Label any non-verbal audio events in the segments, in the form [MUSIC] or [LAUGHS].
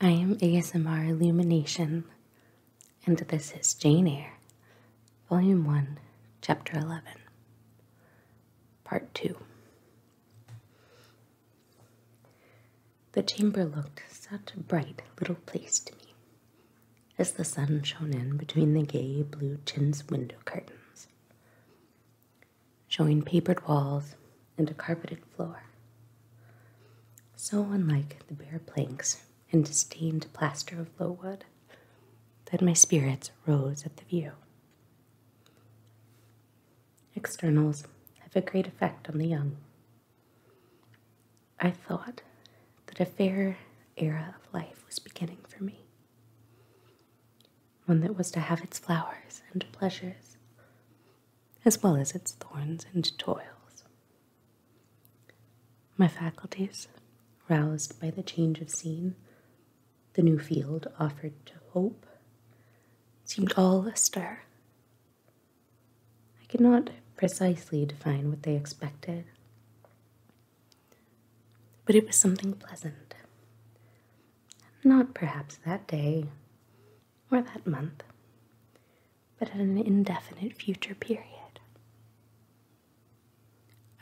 I am ASMR Illumination, and this is Jane Eyre, Volume 1, Chapter 11, Part 2. The chamber looked such a bright little place to me as the sun shone in between the gay blue chintz window curtains showing papered walls and a carpeted floor. So unlike the bare planks and stained plaster of low wood that my spirits rose at the view. Externals have a great effect on the young. I thought that a fair era of life was beginning for me, one that was to have its flowers and pleasures, as well as its thorns and toils. My faculties, roused by the change of scene, the new field offered to hope, seemed all astir. I could not precisely define what they expected, but it was something pleasant. Not perhaps that day, or that month, but at an indefinite future period.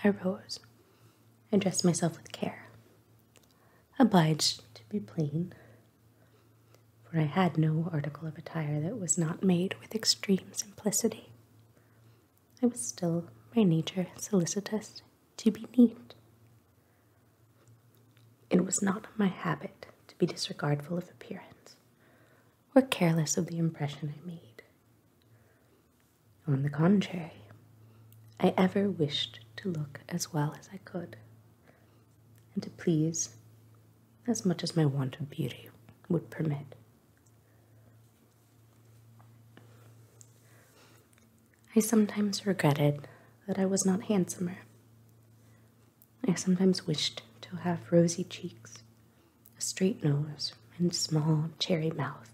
I rose. I dressed myself with care, obliged to be plain, for I had no article of attire that was not made with extreme simplicity. I was still by nature solicitous to be neat, it was not my habit to be disregardful of appearance, or careless of the impression I made. On the contrary, I ever wished to look as well as I could, and to please as much as my want of beauty would permit. I sometimes regretted that I was not handsomer. I sometimes wished to have rosy cheeks, a straight nose, and small cherry mouth.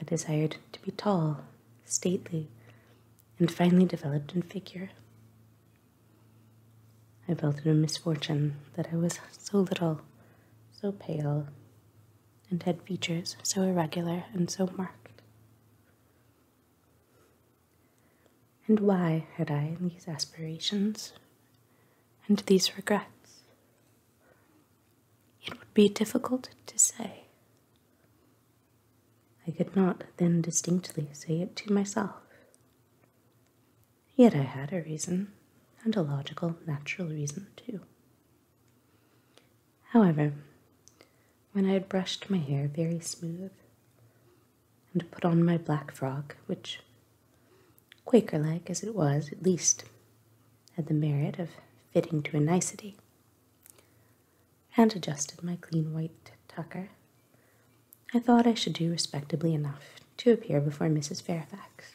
I desired to be tall, stately, and finely developed in figure. I felt it a misfortune that I was so little, so pale, and had features so irregular and so marked. And why had I these aspirations and these regrets? It would be difficult to say. I could not then distinctly say it to myself. Yet I had a reason, and a logical, natural reason too. However, when I had brushed my hair very smooth and put on my black frock, which, Quaker like as it was, at least had the merit of fitting to a nicety, and adjusted my clean white tucker, I thought I should do respectably enough to appear before Mrs. Fairfax,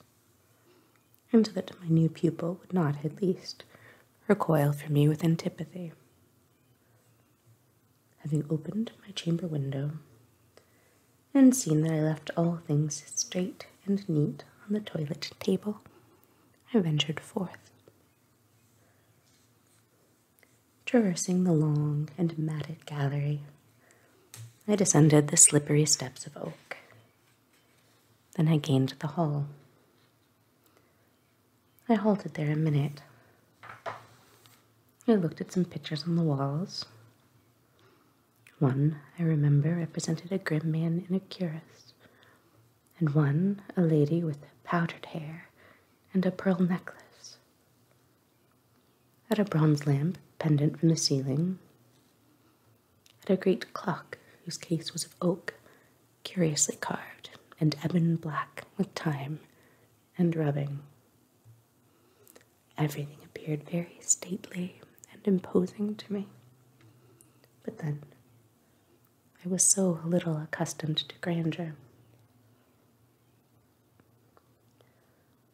and that my new pupil would not, at least, recoil from me with antipathy. Having opened my chamber window and seen that I left all things straight and neat on the toilet table, I ventured forth. Traversing the long and matted gallery, I descended the slippery steps of oak. Then I gained the hall. I halted there a minute. I looked at some pictures on the walls. One, I remember, represented a grim man in a cuirass, and one, a lady with powdered hair and a pearl necklace. At a bronze lamp pendant from the ceiling, at a great clock whose case was of oak curiously carved, and ebon black with time and rubbing. Everything appeared very stately and imposing to me. But then, I was so little accustomed to grandeur.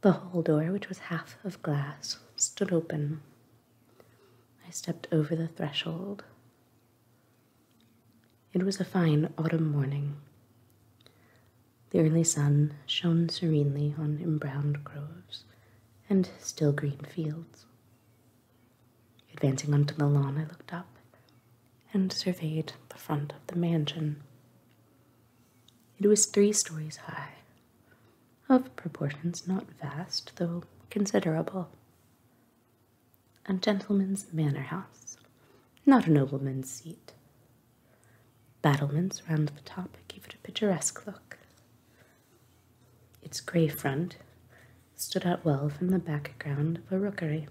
The hall door, which was half of glass, stood open. I stepped over the threshold it was a fine autumn morning. The early sun shone serenely on embrowned groves and still green fields. Advancing onto the lawn, I looked up and surveyed the front of the mansion. It was three stories high, of proportions not vast, though considerable a gentleman's manor house, not a nobleman's seat. Battlements round the top gave it a picturesque look. Its grey front stood out well from the background of a rookery,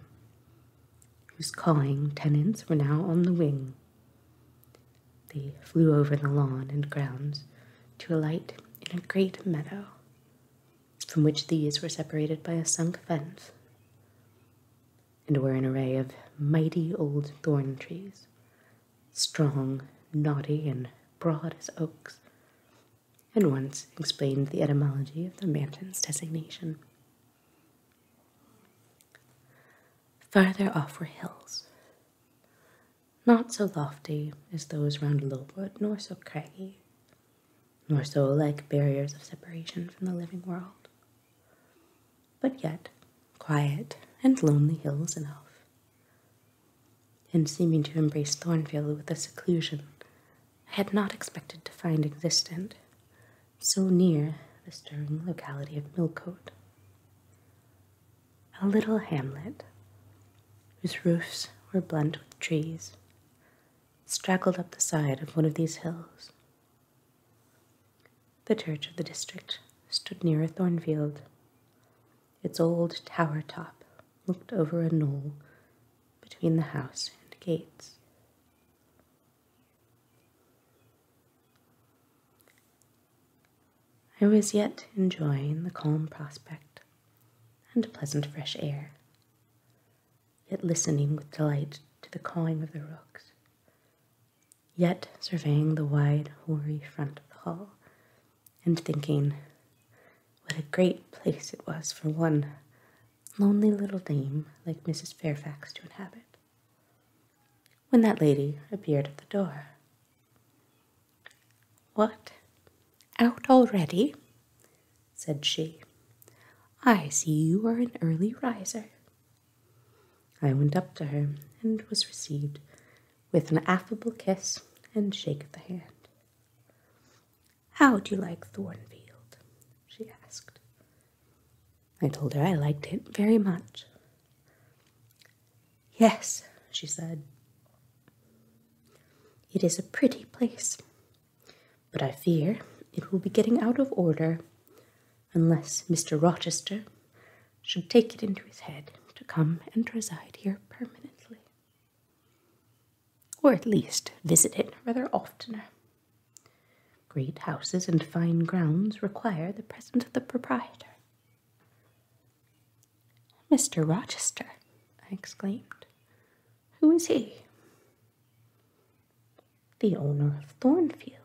whose cawing tenants were now on the wing. They flew over the lawn and grounds to alight in a great meadow, from which these were separated by a sunk fence, and were an array of mighty old thorn trees, strong, knotty, and broad as oaks, and once explained the etymology of the mountain's designation. Farther off were hills, not so lofty as those round the little wood, nor so craggy, nor so like barriers of separation from the living world. But yet, quiet and lonely hills enough, and seeming to embrace Thornfield with a seclusion I had not expected to find existent so near the stirring locality of Millcote. A little hamlet whose roofs were blent with trees, straggled up the side of one of these hills. The church of the district stood near a thornfield. Its old tower top looked over a knoll between the house and gates. I was yet enjoying the calm prospect and pleasant fresh air yet listening with delight to the cawing of the rooks, yet surveying the wide, hoary front of the hall, and thinking what a great place it was for one lonely little dame like Mrs. Fairfax to inhabit. When that lady appeared at the door. What? Out already? said she. I see you are an early riser. I went up to her and was received with an affable kiss and shake of the hand. How do you like Thornfield? she asked. I told her I liked it very much. Yes, she said. It is a pretty place, but I fear it will be getting out of order unless Mr. Rochester should take it into his head to come and reside here permanently, or at least visit it rather oftener. Great houses and fine grounds require the presence of the proprietor. Mr. Rochester, I exclaimed. Who is he? The owner of Thornfield.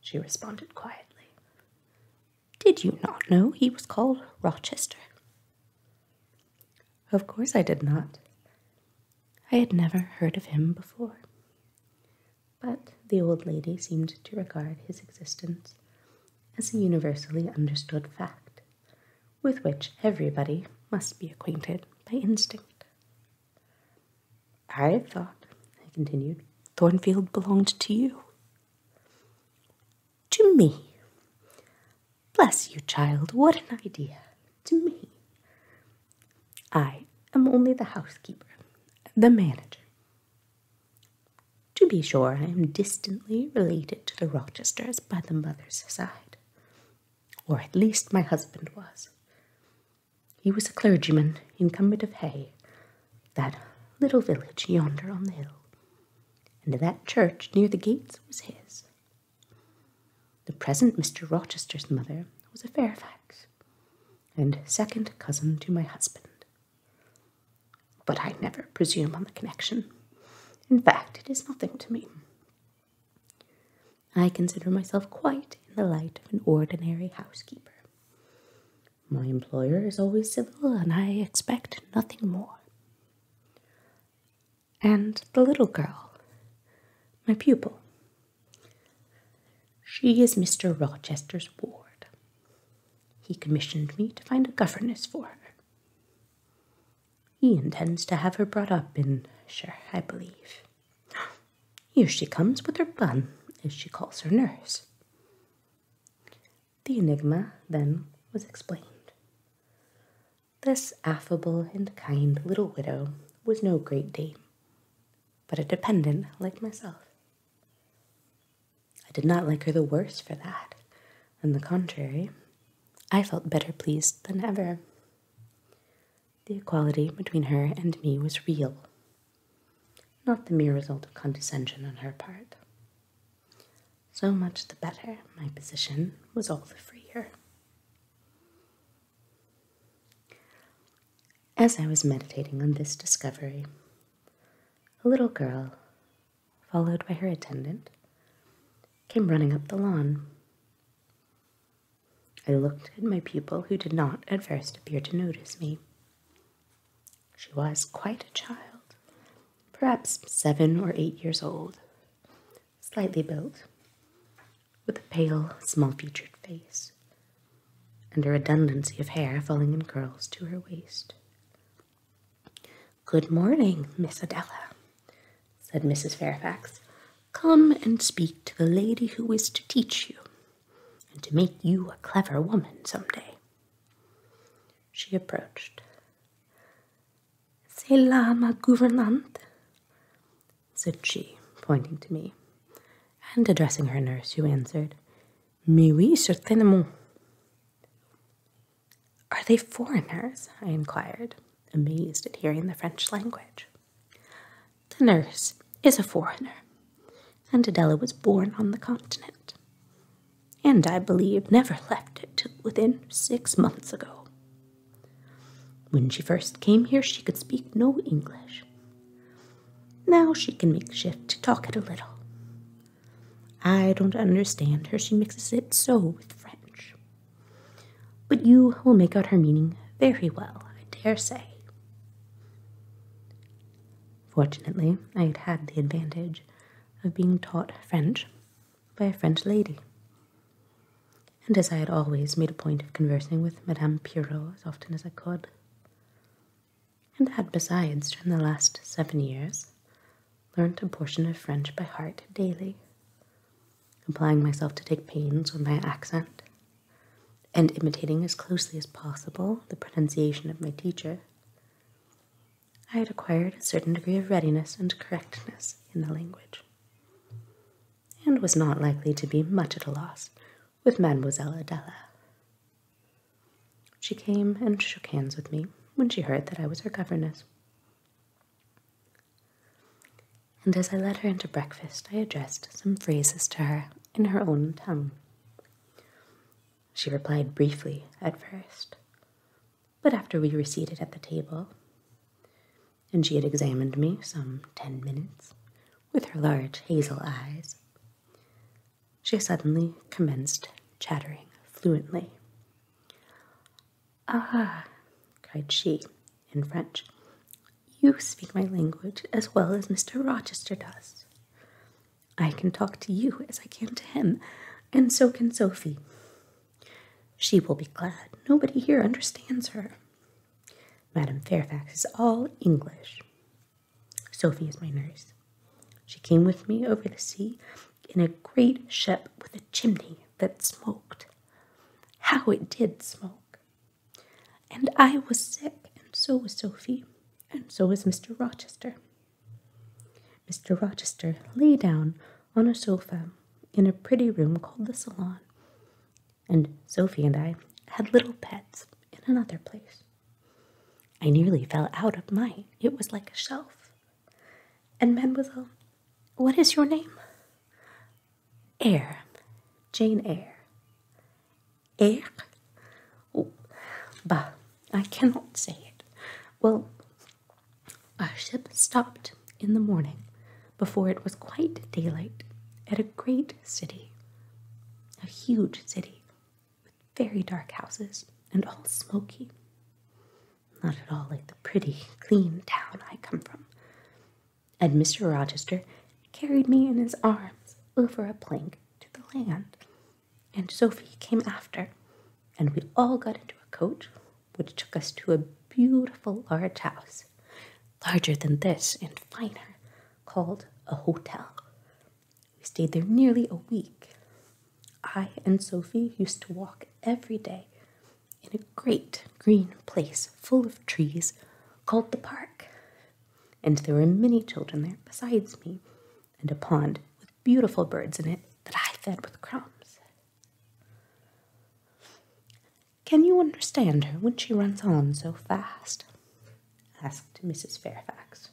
She responded quietly. Did you not know he was called Rochester? Of course I did not. I had never heard of him before. But the old lady seemed to regard his existence as a universally understood fact, with which everybody must be acquainted by instinct. I thought, he continued, Thornfield belonged to you. To me. Bless you, child, what an idea. To me. I am only the housekeeper, the manager. To be sure, I am distantly related to the Rochesters by the mother's side or at least my husband was. He was a clergyman, incumbent of Hay, that little village yonder on the hill, and that church near the gates was his. The present Mr. Rochester's mother was a Fairfax, and second cousin to my husband. But I never presume on the connection. In fact, it is nothing to me. I consider myself quite in the light of an ordinary housekeeper. My employer is always civil, and I expect nothing more. And the little girl, my pupil, she is Mr. Rochester's ward. He commissioned me to find a governess for her. He intends to have her brought up in sure, I believe. Here she comes with her bun, as she calls her nurse. The enigma then was explained. This affable and kind little widow was no great dame, but a dependent like myself. I did not like her the worse for that. On the contrary, I felt better pleased than ever. The equality between her and me was real, not the mere result of condescension on her part. So much the better, my position was all the freer. As I was meditating on this discovery, a little girl, followed by her attendant, came running up the lawn. I looked at my pupil, who did not at first appear to notice me. She was quite a child, perhaps seven or eight years old, slightly built, with a pale, small featured face, and a redundancy of hair falling in curls to her waist. Good morning, Miss Adela, said Mrs. Fairfax, Come and speak to the lady who is to teach you, and to make you a clever woman some day. She approached. C'est là ma gouvernante, said she, pointing to me, and addressing her nurse, who answered, Mais oui, certainement. Are they foreigners? I inquired amazed at hearing the French language. The nurse is a foreigner, and Adela was born on the continent, and I believe never left it till within six months ago. When she first came here, she could speak no English. Now she can make shift to talk it a little. I don't understand her. She mixes it so with French. But you will make out her meaning very well, I dare say. Fortunately, I had had the advantage of being taught French by a French lady. And as I had always made a point of conversing with Madame Pierrot as often as I could, and had besides, during the last seven years, learnt a portion of French by heart daily, applying myself to take pains with my accent, and imitating as closely as possible the pronunciation of my teacher, I had acquired a certain degree of readiness and correctness in the language, and was not likely to be much at a loss with Mademoiselle Adela. She came and shook hands with me when she heard that I was her governess and as I led her into breakfast, I addressed some phrases to her in her own tongue. She replied briefly at first, but after we were seated at the table, and she had examined me some ten minutes with her large hazel eyes, she suddenly commenced chattering fluently. Ah, cried she, in French. You speak my language as well as Mr. Rochester does. I can talk to you as I can to him, and so can Sophie. She will be glad nobody here understands her. Madame Fairfax is all English. Sophie is my nurse. She came with me over the sea in a great ship with a chimney that smoked. How it did smoke! And I was sick, and so was Sophie, and so was Mr. Rochester. Mr. Rochester lay down on a sofa in a pretty room called the salon, and Sophie and I had little beds in another place. I nearly fell out of mine. It was like a shelf. And, Mademoiselle, what is your name? Air, Jane Eyre. Air, Oh, bah, I cannot say it. Well, our ship stopped in the morning before it was quite daylight at a great city, a huge city with very dark houses and all smoky. Not at all like the pretty, clean town I come from and Mr. Rochester carried me in his arms over a plank to the land, and Sophie came after, and we all got into a coach which took us to a beautiful large house, larger than this and finer, called a hotel. We stayed there nearly a week. I and Sophie used to walk every day in a great green place full of trees called the park, and there were many children there besides me, and a pond with beautiful birds in it that I fed with crumbs. Can you understand her when she runs on so fast? asked Mrs. Fairfax.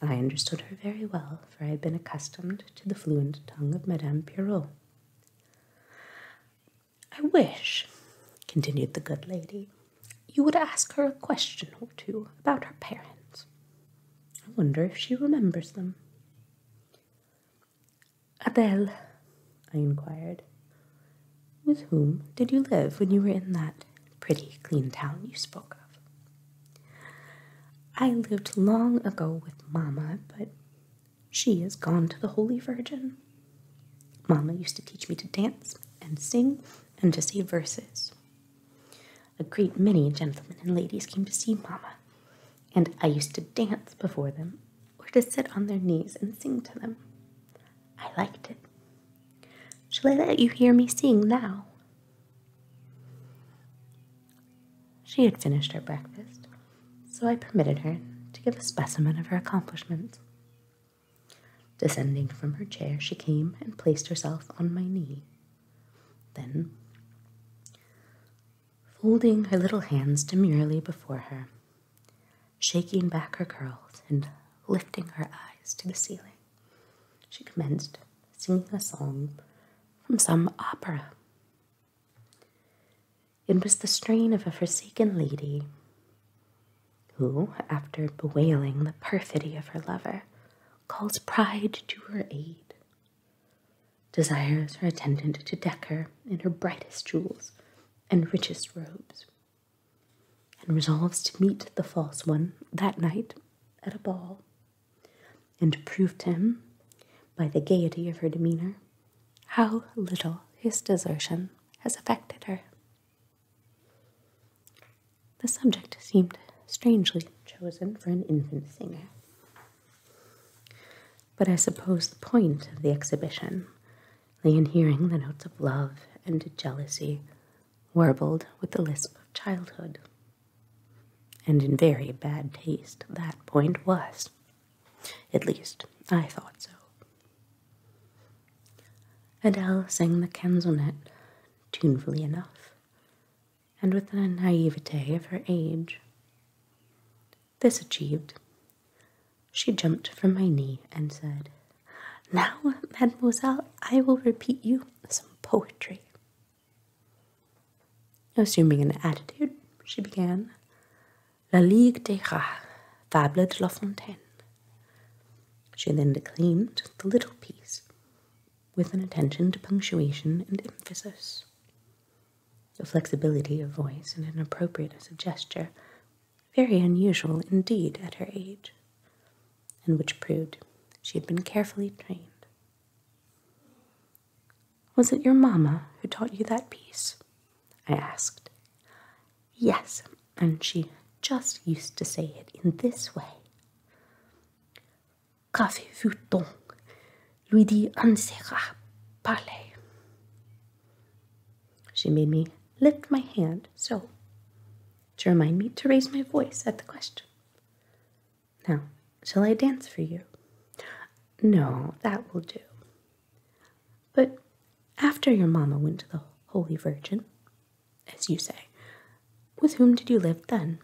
I understood her very well, for I had been accustomed to the fluent tongue of Madame Pierrot. I wish, continued the good lady, you would ask her a question or two about her parents. I wonder if she remembers them. Adele, I inquired, with whom did you live when you were in that pretty, clean town you spoke of? I lived long ago with Mamma, but she is gone to the Holy Virgin. Mamma used to teach me to dance and sing and to say verses. A great many gentlemen and ladies came to see mamma, and I used to dance before them or to sit on their knees and sing to them. I liked it. Shall I let you hear me sing now? She had finished her breakfast, so I permitted her to give a specimen of her accomplishment. Descending from her chair, she came and placed herself on my knee. Then, folding her little hands demurely before her, shaking back her curls and lifting her eyes to the ceiling, she commenced singing a song from some opera. It was the strain of a forsaken lady who, after bewailing the perfidy of her lover, calls pride to her aid, desires her attendant to deck her in her brightest jewels and richest robes, and resolves to meet the false one that night at a ball, and proved him, by the gaiety of her demeanor, how little his desertion has affected her. The subject seemed strangely chosen for an infant singer. But I suppose the point of the exhibition lay in hearing the notes of love and jealousy warbled with the lisp of childhood. And in very bad taste that point was. At least, I thought so. Adele sang the canzonet tunefully enough, and with the naivete of her age. This achieved, she jumped from my knee and said, Now, mademoiselle, I will repeat you some poetry. Assuming an attitude, she began, La Ligue des Rats, Fable de La Fontaine. She then declaimed the little piece with an attention to punctuation and emphasis. a flexibility of voice and an appropriateness of gesture, very unusual indeed at her age, and which proved she had been carefully trained. Was it your mamma who taught you that piece? I asked. Yes, and she just used to say it in this way. Qu'avez-vous donc? lui dit Ansera, parlez. She made me lift my hand so to remind me to raise my voice at the question. Now, shall I dance for you? No, that will do. But after your mamma went to the Holy Virgin, as you say, with whom did you live then?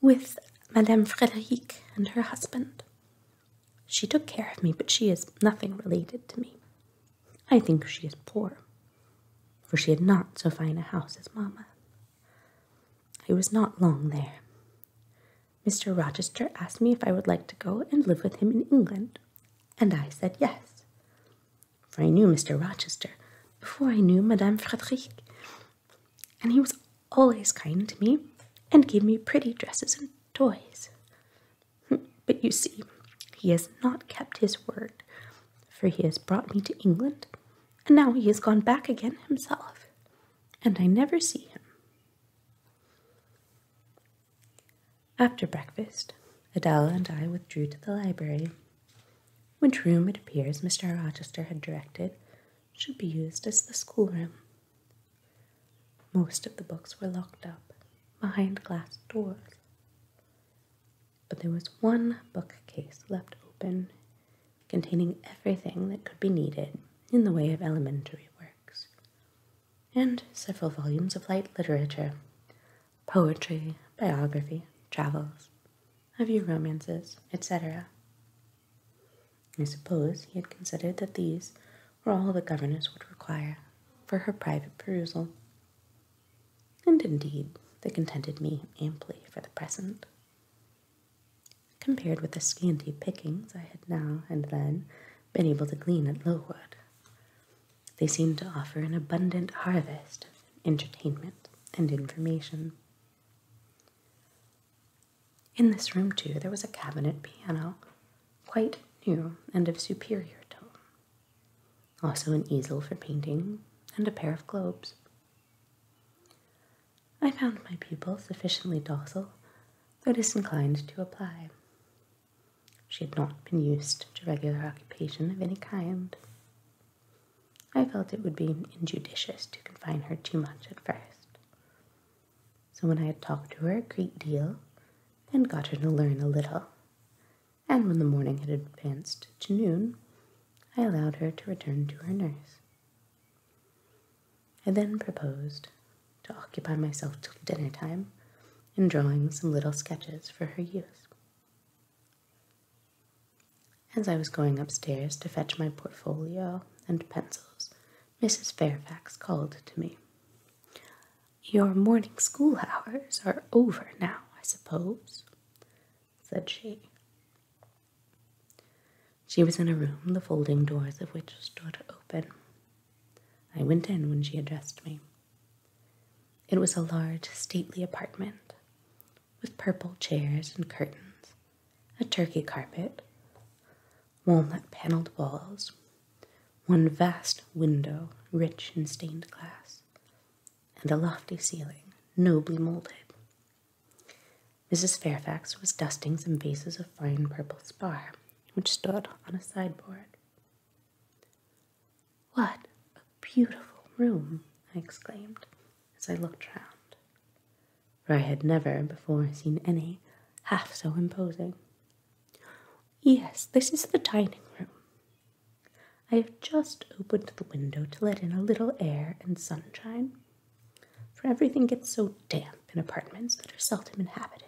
With Madame Frederic and her husband. She took care of me, but she is nothing related to me. I think she is poor, for she had not so fine a house as mamma. I was not long there. Mr. Rochester asked me if I would like to go and live with him in England, and I said yes. For I knew Mr. Rochester before I knew Madame Frederic, and he was always kind to me and gave me pretty dresses and toys. [LAUGHS] But you see, he has not kept his word, for he has brought me to England, and now he has gone back again himself, and I never see him. After breakfast, Adela and I withdrew to the library, which room it appears Mr. Rochester had directed should be used as the schoolroom. Most of the books were locked up behind glass doors, but there was one bookcase left open containing everything that could be needed in the way of elementary works, and several volumes of light literature, poetry, biography, travels, a few romances, etc. I suppose he had considered that these were all the governess would require for her private perusal. And indeed, they contented me amply for the present. Compared with the scanty pickings I had now and then been able to glean at Lowood, they seemed to offer an abundant harvest of entertainment and information. In this room, too, there was a cabinet piano, quite new and of superior tone, also an easel for painting, and a pair of globes. I found my pupil sufficiently docile, though disinclined to apply, she had not been used to regular occupation of any kind. I felt it would be injudicious to confine her too much at first. So when I had talked to her a great deal and got her to learn a little, and when the morning had advanced to noon, I allowed her to return to her nurse. I then proposed to occupy myself till dinner time in drawing some little sketches for her use. As I was going upstairs to fetch my portfolio and pencils, Mrs. Fairfax called to me. Your morning school hours are over now, I suppose, said she. She was in a room, the folding doors of which stood open, I went in when she addressed me. It was a large, stately apartment with purple chairs and curtains, a turkey carpet, walnut paneled walls, one vast window rich in stained glass, and a lofty ceiling nobly molded. Mrs. Fairfax was dusting some vases of fine purple spar, which stood on a sideboard. What a beautiful room! I exclaimed as I looked round, for I had never before seen any half so imposing. Yes, this is the dining room. I have just opened the window to let in a little air and sunshine, for everything gets so damp in apartments that are seldom inhabited.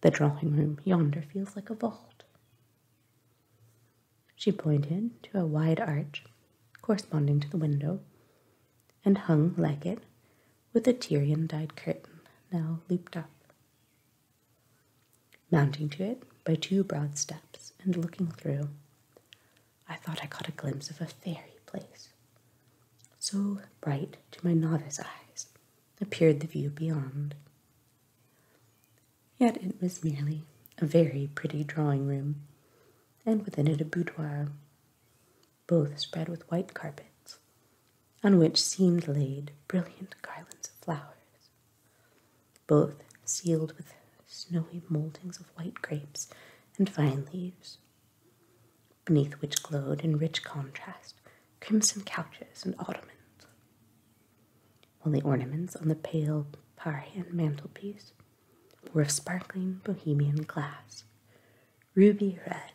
The drawing room yonder feels like a vault. She pointed to a wide arch corresponding to the window and hung like it with a Tyrian dyed curtain now looped up. Mounting to it by two broad steps and looking through, I thought I caught a glimpse of a fairy place, so bright to my novice eyes appeared the view beyond. Yet it was merely a very pretty drawing room, and within it a boudoir, both spread with white carpets, on which seemed laid brilliant garlands of flowers, both sealed with snowy mouldings of white grapes and vine leaves beneath which glowed in rich contrast crimson couches and ottomans. While the ornaments on the pale Parian mantelpiece were of sparkling bohemian glass, ruby red,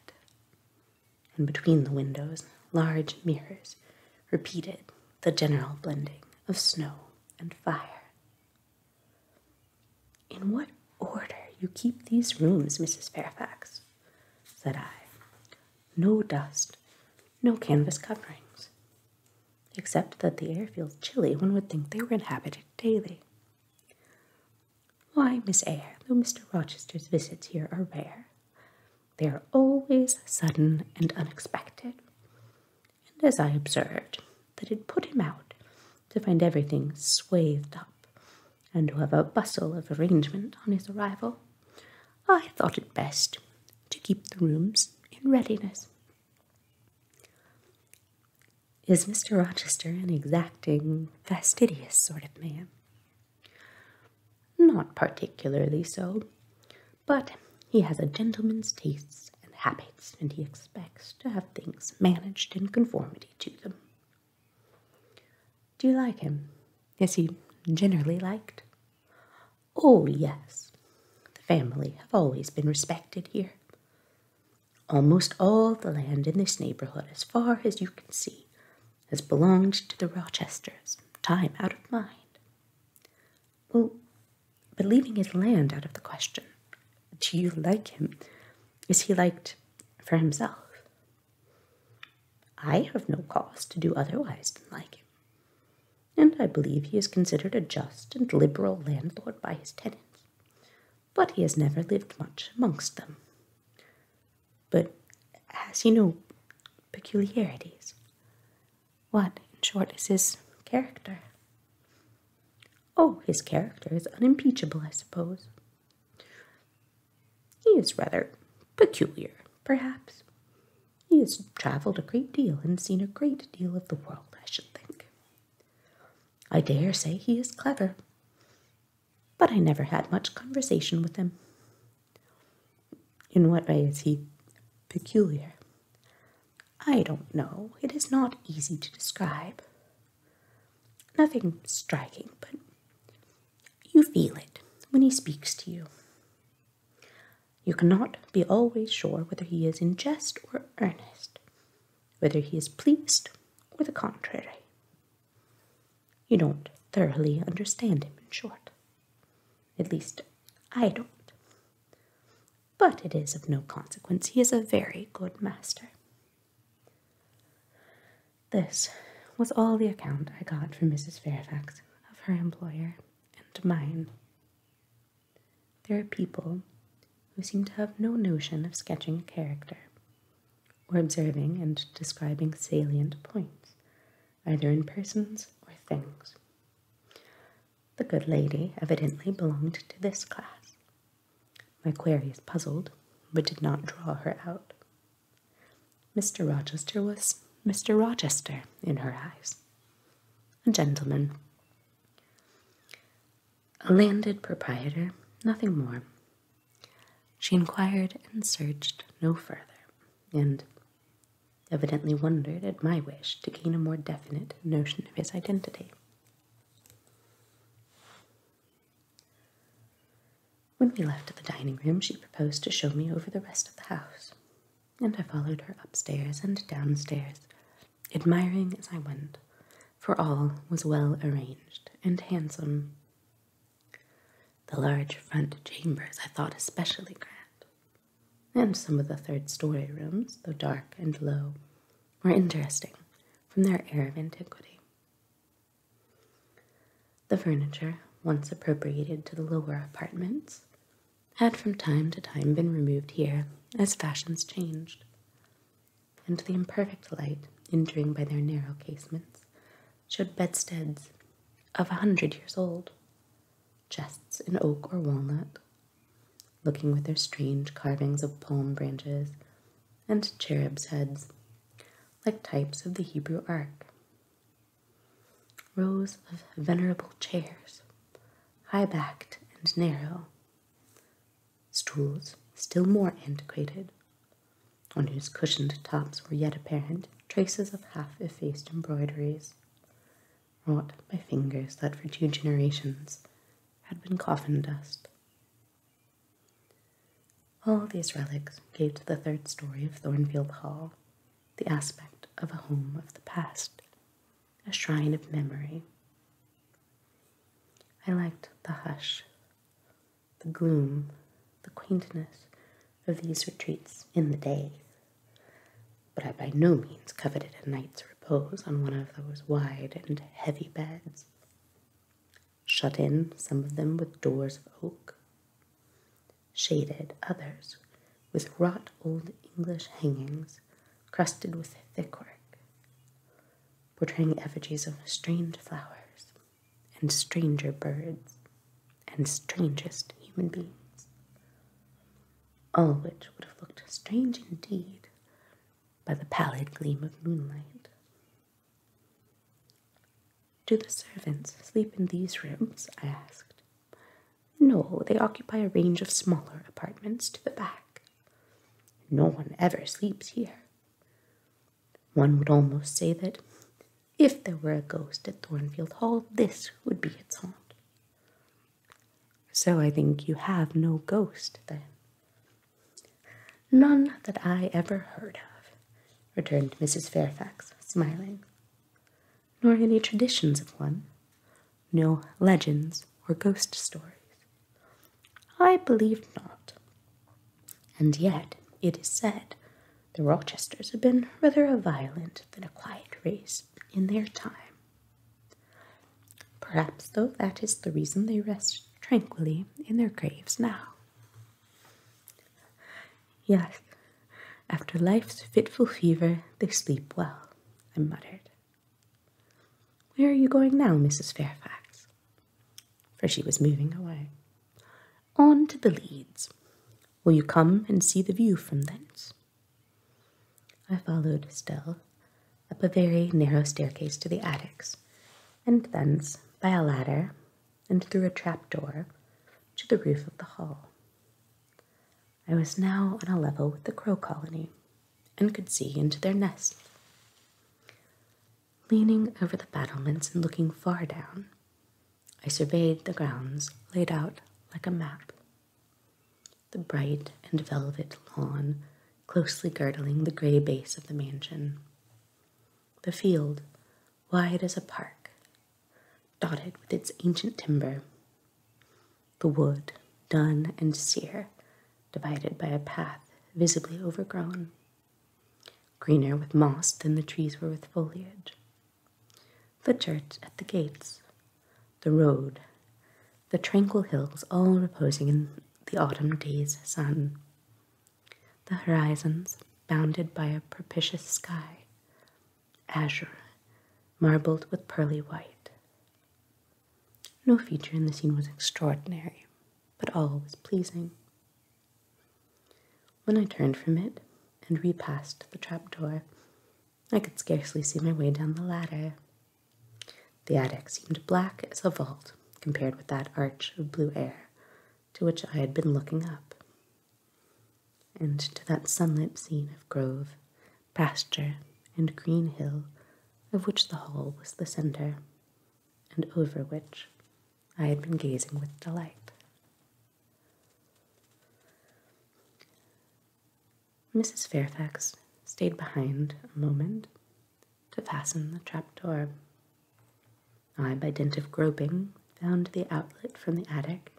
and between the windows, large mirrors repeated the general blending of snow and fire. In what order you keep these rooms, Mrs. Fairfax? said I. No dust, no canvas coverings. Except that the air feels chilly, one would think they were inhabited daily. Why, Miss Eyre, though Mr. Rochester's visits here are rare, they are always sudden and unexpected. And as I observed, that it put him out to find everything swathed up and to have a bustle of arrangement on his arrival. I thought it best to keep the rooms in readiness. Is Mr. Rochester an exacting, fastidious sort of man? Not particularly so, but he has a gentleman's tastes and habits, and he expects to have things managed in conformity to them. Do you like him? Is he generally liked? Oh, yes. The family have always been respected here. Almost all the land in this neighborhood, as far as you can see, has belonged to the Rochesters, time out of mind. Well, but leaving his land out of the question, do you like him? Is he liked for himself? I have no cause to do otherwise than like him, and I believe he is considered a just and liberal landlord by his tenants, but he has never lived much amongst them. But has he no peculiarities? What, in short, is his character? Oh, his character is unimpeachable, I suppose, he is rather peculiar, perhaps. He has travelled a great deal and seen a great deal of the world, I should think. I dare say he is clever, but I never had much conversation with him. In what way is he peculiar? I don't know. It is not easy to describe. Nothing striking, but you feel it when he speaks to you. You cannot be always sure whether he is in jest or earnest, whether he is pleased or the contrary. You don't thoroughly understand him, in short. At least, I don't. But it is of no consequence. He is a very good master. This was all the account I got from Mrs. Fairfax of her employer and mine. There are people who seem to have no notion of sketching a character, or observing and describing salient points, either in persons or things. The good lady evidently belonged to this class. My queries puzzled, but did not draw her out. Mr. Rochester was Mr. Rochester in her eyes, a gentleman, a landed proprietor, nothing more. She inquired and searched no further, and evidently wondered at my wish to gain a more definite notion of his identity. When we left the dining room, she proposed to show me over the rest of the house, and I followed her upstairs and downstairs, admiring as I went, for all was well arranged and handsome. The large front chambers I thought especially grand, and some of the third story rooms, though dark and low, were interesting from their air of antiquity. The furniture, once appropriated to the lower apartments, had from time to time been removed here as fashions changed, and the imperfect light entering by their narrow casements showed bedsteads of a hundred years old, chests in oak or walnut, looking with their strange carvings of palm branches and cherubs' heads, like types of the Hebrew ark, rows of venerable chairs, high backed and narrow, stools still more antiquated, on whose cushioned tops were yet apparent traces of half effaced embroideries, wrought by fingers that for two generations had been coffin dust. All these relics gave to the third story of Thornfield Hall the aspect of a home of the past, a shrine of memory. I liked the hush, the gloom, the quaintness of these retreats in the day, but I by no means coveted a night's repose on one of those wide and heavy beds. Shut in, some of them with doors of oak, shaded others with wrought old English hangings crusted with thick work, portraying effigies of strange flowers and stranger birds and strangest human beings, all which would have looked strange indeed by the pallid gleam of moonlight. Do the servants sleep in these rooms? I asked. No, they occupy a range of smaller apartments to the back. No one ever sleeps here. One would almost say that if there were a ghost at Thornfield Hall, this would be its haunt. So I think you have no ghost, then. None that I ever heard of, returned Mrs. Fairfax, smiling nor any traditions of one, no legends or ghost stories. I believed not. And yet, it is said, the Rochesters have been rather a violent than a quiet race in their time. Perhaps, though, that is the reason they rest tranquilly in their graves now. Yes, after life's fitful fever, they sleep well, I muttered. Where are you going now, Mrs. Fairfax? For she was moving away. On to the leads. Will you come and see the view from thence? I followed still, up a very narrow staircase to the attics, and thence, by a ladder, and through a trapdoor to the roof of the hall. I was now on a level with the crow colony and could see into their nest. Leaning over the battlements and looking far down, I surveyed the grounds laid out like a map. The bright and velvet lawn closely girdling the gray base of the mansion, the field wide as a park, dotted with its ancient timber. The wood, dun and sere, divided by a path visibly overgrown, greener with moss than the trees were with foliage. The church at the gates, the road, the tranquil hills all reposing in the autumn day's sun, the horizons bounded by a propitious sky, azure, marbled with pearly white. No feature in the scene was extraordinary, but all was pleasing. When I turned from it and repassed the trap door, I could scarcely see my way down the ladder. The attic seemed black as a vault compared with that arch of blue air to which I had been looking up, and to that sunlit scene of grove, pasture, and green hill of which the hall was the centre, and over which I had been gazing with delight. Mrs. Fairfax stayed behind a moment to fasten the trap door. I, by dint of groping, found the outlet from the attic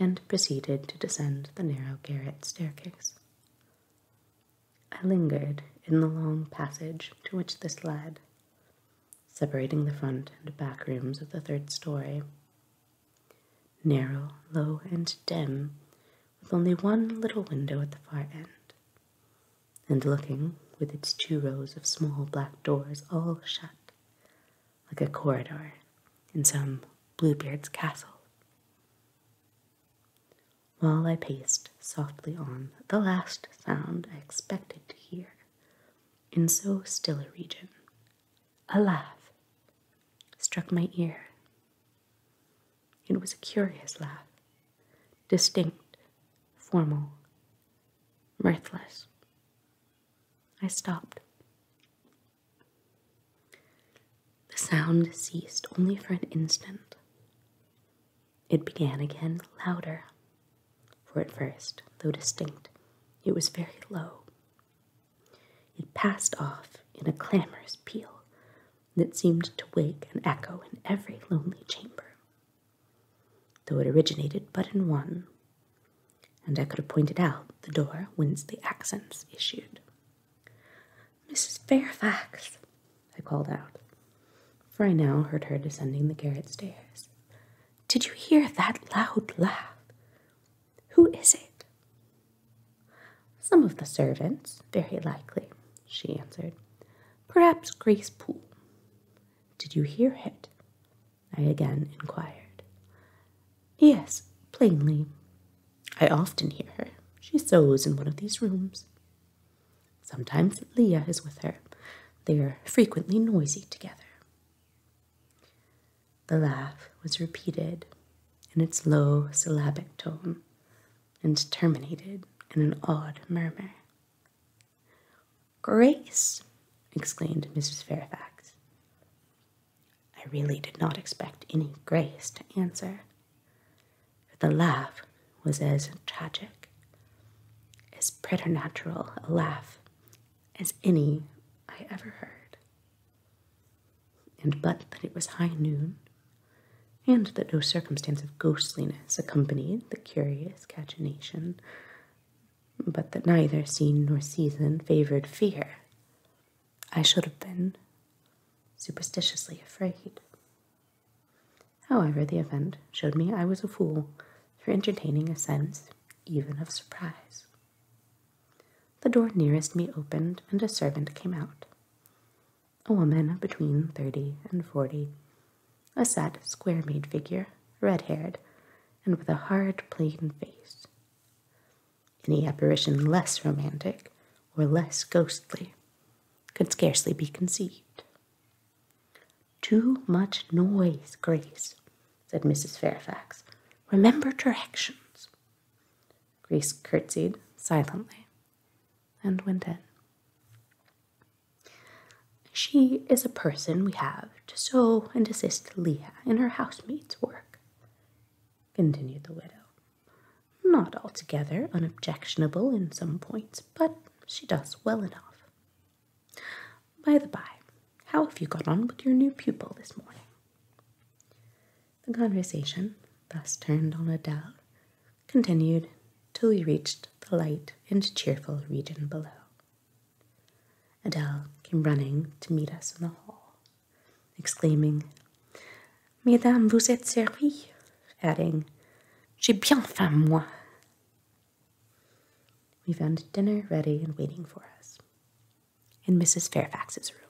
and proceeded to descend the narrow garret staircase. I lingered in the long passage to which this led, separating the front and back rooms of the third story. Narrow, low, and dim, with only one little window at the far end, and looking, with its two rows of small black doors all shut, like a corridor in some Bluebeard's castle. While I paced softly on, the last sound I expected to hear in so still a region, a laugh struck my ear. It was a curious laugh, distinct, formal, mirthless, I stopped. The sound ceased only for an instant. It began again louder, for at first, though distinct, it was very low. It passed off in a clamorous peal that seemed to wake an echo in every lonely chamber, though it originated but in one and I could have pointed out the door whence the accents issued. Mrs. Fairfax, I called out, for I now heard her descending the garret stairs. Did you hear that loud laugh? Who is it? Some of the servants, very likely, she answered. Perhaps Grace Poole. Did you hear it? I again inquired. Yes, plainly. I often hear her. She sews in one of these rooms. Sometimes Leah is with her. They are frequently noisy together. The laugh was repeated in its low syllabic tone and terminated in an odd murmur. Grace! exclaimed Mrs. Fairfax. I really did not expect any grace to answer, But the laugh was as tragic, as preternatural a laugh as any I ever heard. And but that it was high noon, and that no circumstance of ghostliness accompanied the curious cachinnation, but that neither scene nor season favored fear. I should have been superstitiously afraid. However, the event showed me I was a fool for entertaining a sense even of surprise. The door nearest me opened, and a servant came out. A woman between thirty and forty, a set, square made figure, red haired, and with a hard, plain face. Any apparition less romantic or less ghostly could scarcely be conceived. Too much noise, Grace, said Mrs. Fairfax. Remember directions. Grace curtsied silently and went in. She is a person we have to sew and assist Leah in her housemaid's work, continued the widow. Not altogether unobjectionable in some points, but she does well enough. By the by, how have you got on with your new pupil this morning? The conversation, thus turned on Adele, continued till we reached the light and cheerful region below. Adele came running to meet us in the hall, exclaiming, Mesdames, vous êtes servies, adding, J'ai bien faim, moi. We found dinner ready and waiting for us in Mrs. Fairfax's room.